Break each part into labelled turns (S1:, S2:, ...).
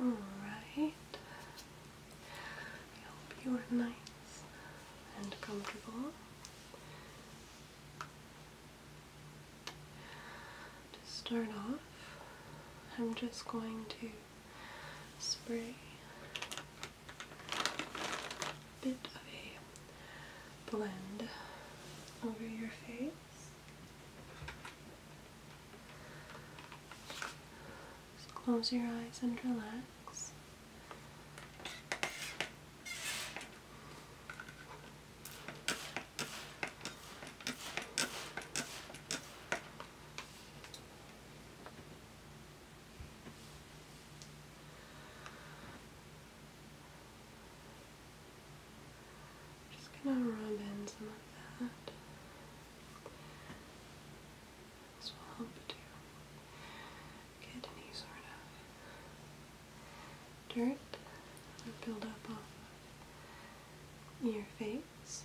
S1: All right. I hope you are nice and comfortable. To start off, I'm just going to spray a bit of a blend over your face. close your eyes and relax. Just gonna rub in some of that. This will help get any sort of dirt or build up off of your face.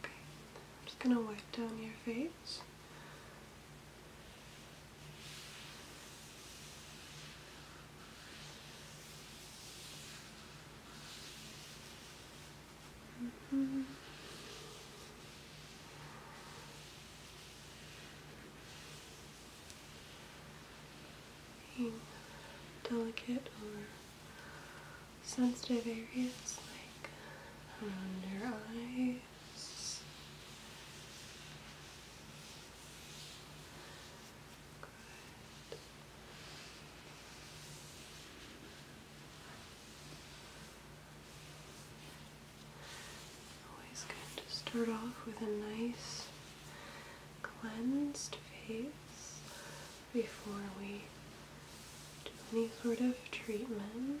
S1: Okay, I'm just going to wipe down your face. -hmm. delicate sensitive areas like around your eyes. Always good to start off with a nice cleansed face before we do any sort of treatment.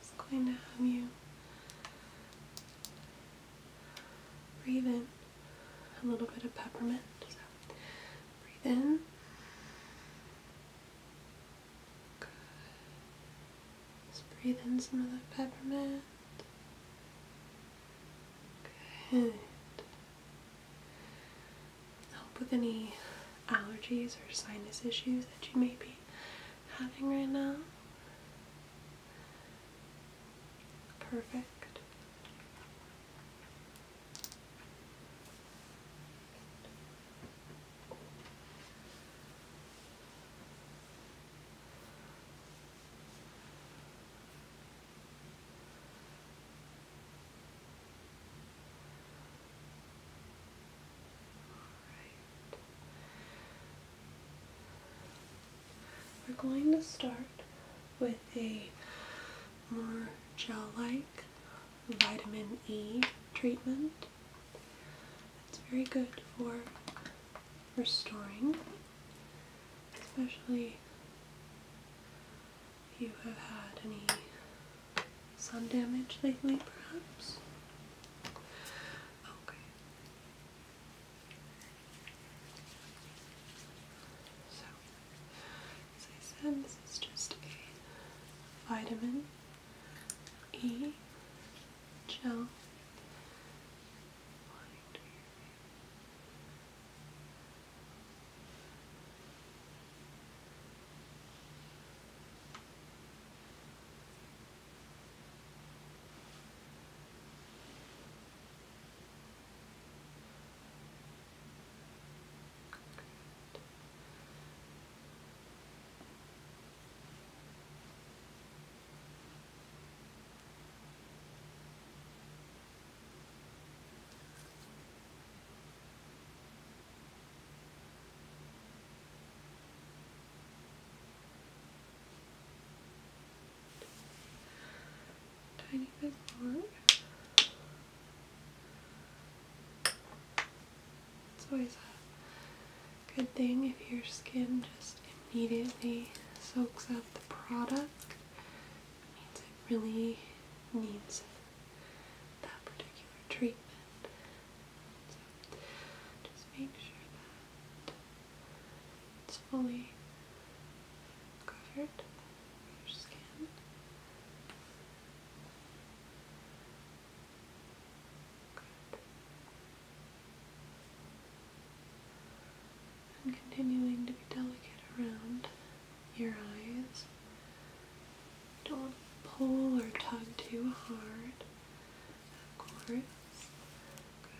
S1: just going to have you breathe in a little bit of peppermint. So breathe in just breathe in some of that peppermint. Good. Help with any allergies or sinus issues that you may be having right now. Perfect. We're going to start with a more gel-like vitamin E treatment. It's very good for restoring, especially if you have had any sun damage lately, perhaps. Okay. So, as I said, this is just a vitamin E gel. Good. Tiny bit more. It's always a good thing if your skin just immediately soaks up the product. It means it really needs that particular treatment. So just make sure that it's fully covered your skin. Good. And continuing to be delicate around your eyes. Don't pull or tug too hard, of course. Good.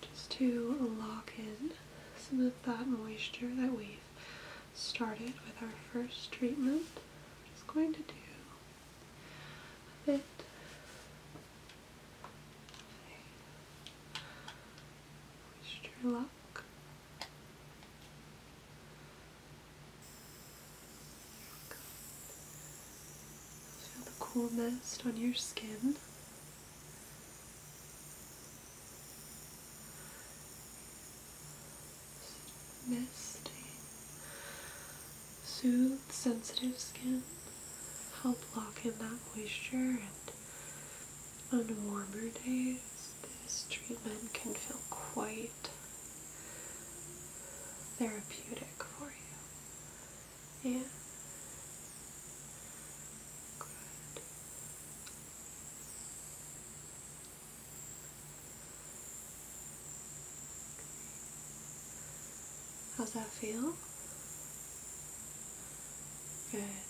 S1: Just to lock in some of that moisture that we've started with our first treatment, I'm just going to do a bit. Moisture lock. Feel the cool mist on your skin. Misty. Soothe sensitive skin. Help lock in that moisture and on warmer days this treatment can feel quite therapeutic for you. Yeah. Good. How's that feel? Good. Good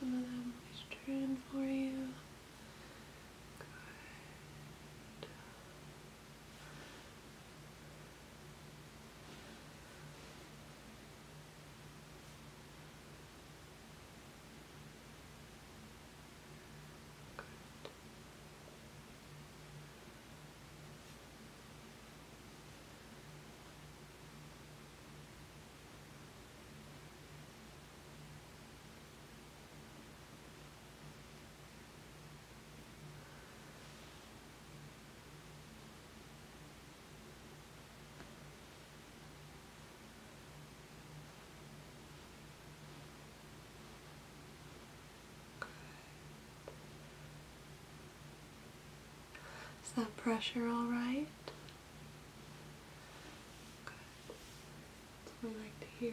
S1: some of them moisturizing for you. Good. Good. Is that pressure all right? That's what we like to hear.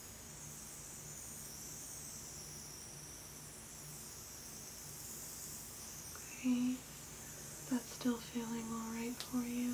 S1: Okay, that's still feeling alright for you.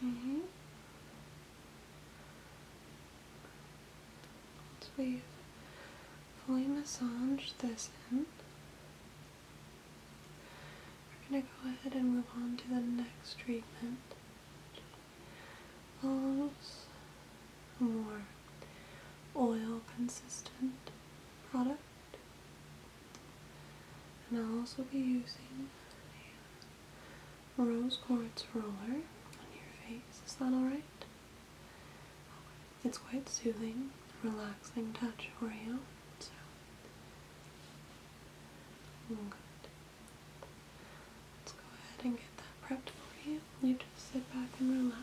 S1: Okay. Once we've fully massaged this in, we're going to go ahead and move on to the next treatment, a more oil consistent product. And I'll also be using a rose quartz roller on your face. Is that alright? It's quite soothing, relaxing touch for you. Oh, Good. Let's go ahead and get that prepped for you. You just sit back and relax.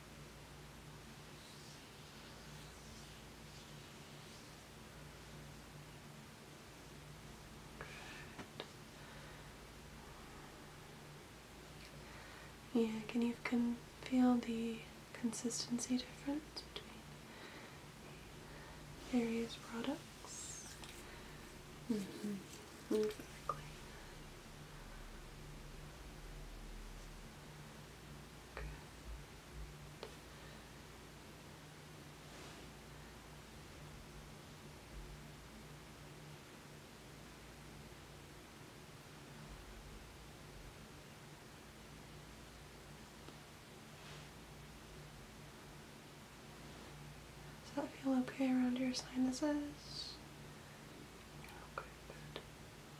S1: Yeah, can you can feel the consistency difference between various products? -hmm. Exactly. Does that feel okay around your sinuses?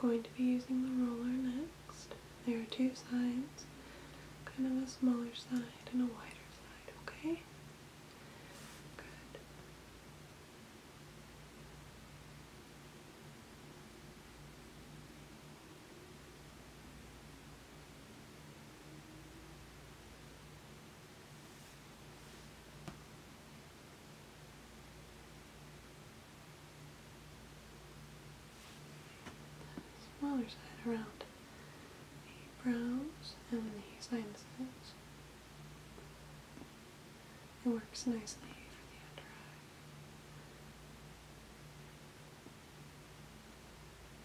S1: I'm going to be using the roller next. There are two sides, kind of a smaller side and a wider side, okay? Good smaller side around the brows and the sinuses. It works nicely for the under eye.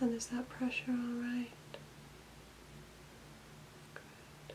S1: And is that pressure all right? Good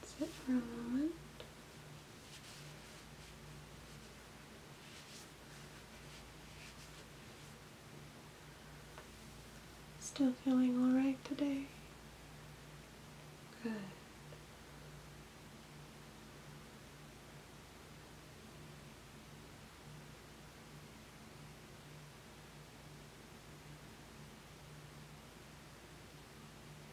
S1: that's it for a moment. Still feeling alright today? Good.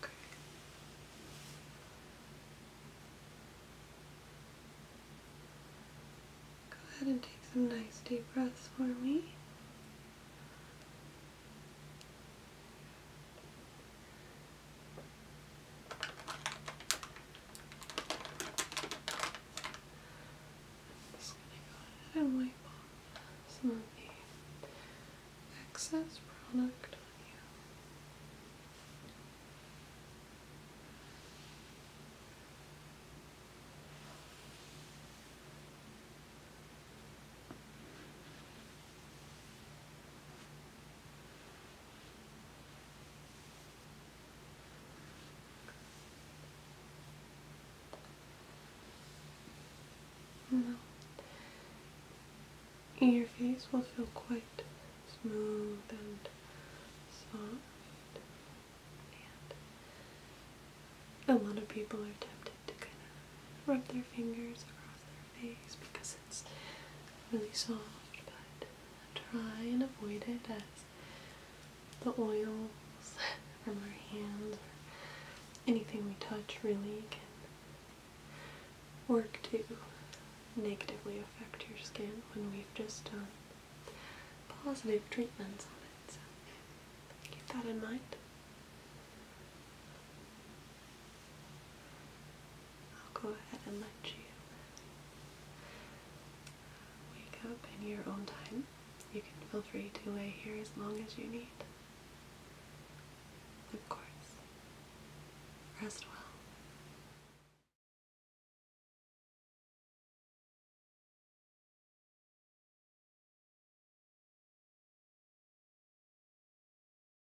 S1: Go ahead and take some nice deep breaths for me i gonna go ahead some of the excess product on you. Your face will feel quite smooth and soft. And a lot of people are tempted to kind of rub their fingers across their face because it's really soft, but try and avoid it as the oils from our hands or anything we touch really can work to negatively affect your skin when we've just done positive treatments on it. So keep that in mind. I'll go ahead and let you wake up in your own time. You can feel free to lay here as long as you need. Of course. Rest well.